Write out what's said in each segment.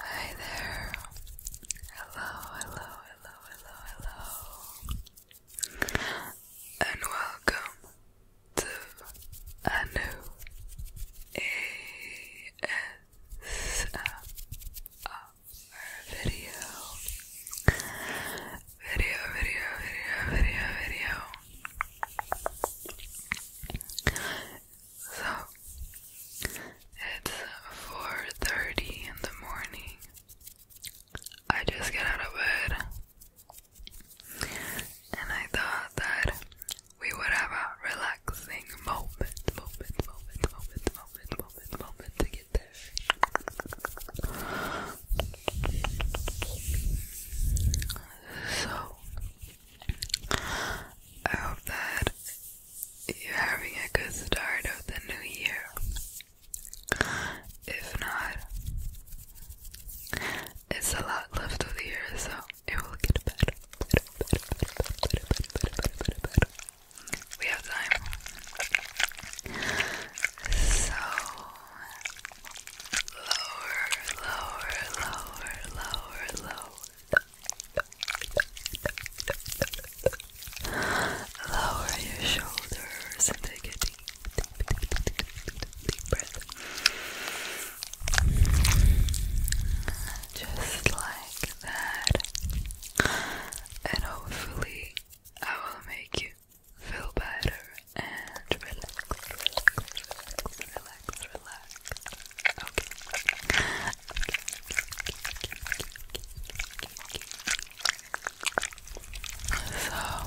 Hi there. Hello, hello, hello, hello, hello. And welcome to a new Video, video, video, video, video. So it's 4:30 in the morning. I just get out of bed. And I thought that we would have a relaxing moment, moment, moment, moment, moment, moment, moment to get there. So I hope that you're having a good start of the new year. If not, it's a lot left of the year, so it will get better. better, better, better, better, better, better, better. We have time. So lower, lower, lower, lower, lower. Lower your shoulders and take a deep, deep, deep, deep, deep, breath. Just like that. And hopefully, I will make you feel better and relax relax, relax. Okay. okay. So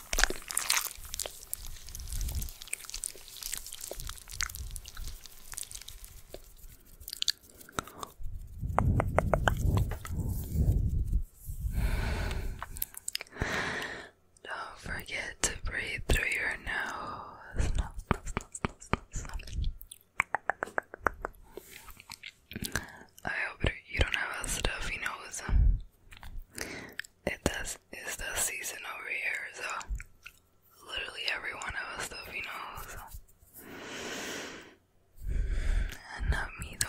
Don't forget to breathe through your nose. I hope you don't have a stuffy nose it does it's the season over here, so literally every one of us stuff, you know, and not me though.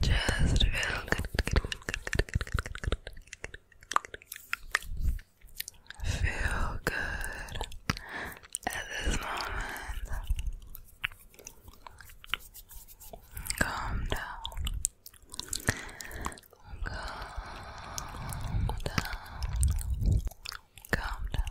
Just feel good, Feel good at this moment. Calm down. Calm down. Calm down.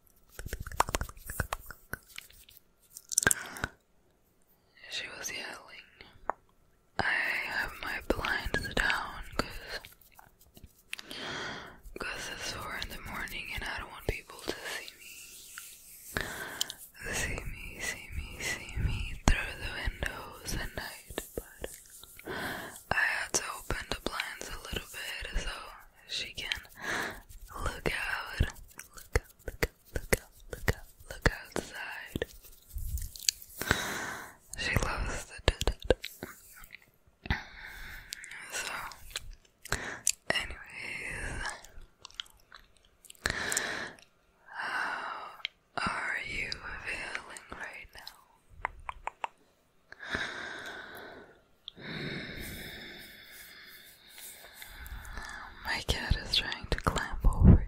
she was yelling, I have my blinds down because cause it's 4 in the morning and I don't want people to see me. See me, see me, see me through the windows at night, but I had to open the blinds a little bit so she can look out, look out, look out, look out, look outside. She loves the so, anyways, how are you feeling right now? My cat is trying to climb over.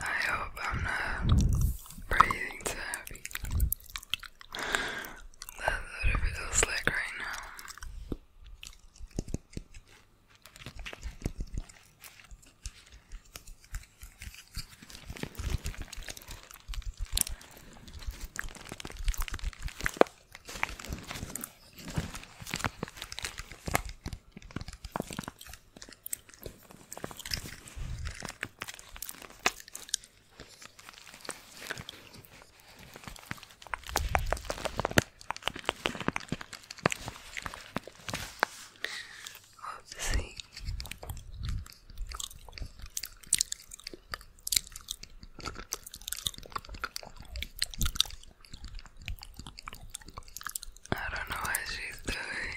I hope I'm not breathing too heavy. That's what it feels like right now. Oopsie. I don't know what she's doing.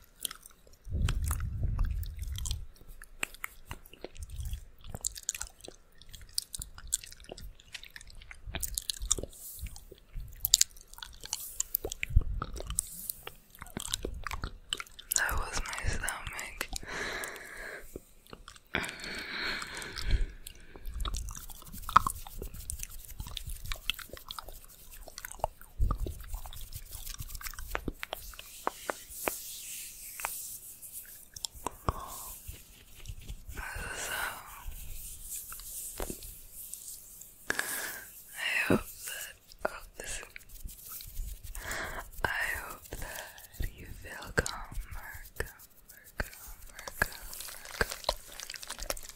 That was my stomach. I hope that oh, I hope that you feel calmer, calmer, calmer, calmer, calmer.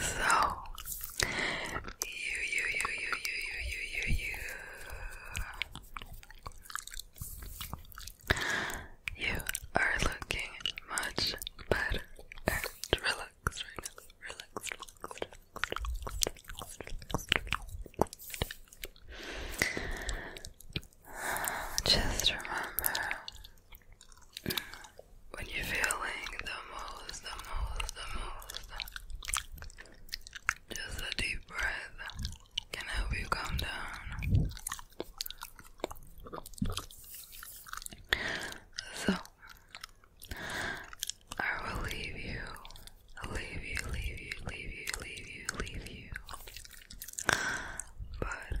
So you you you you you you you you you you are looking much better and relax right now. Just remember when you're feeling the most, the most, the most, just a deep breath can help you calm down. So, I will leave you, leave you, leave you, leave you, leave you, leave you. But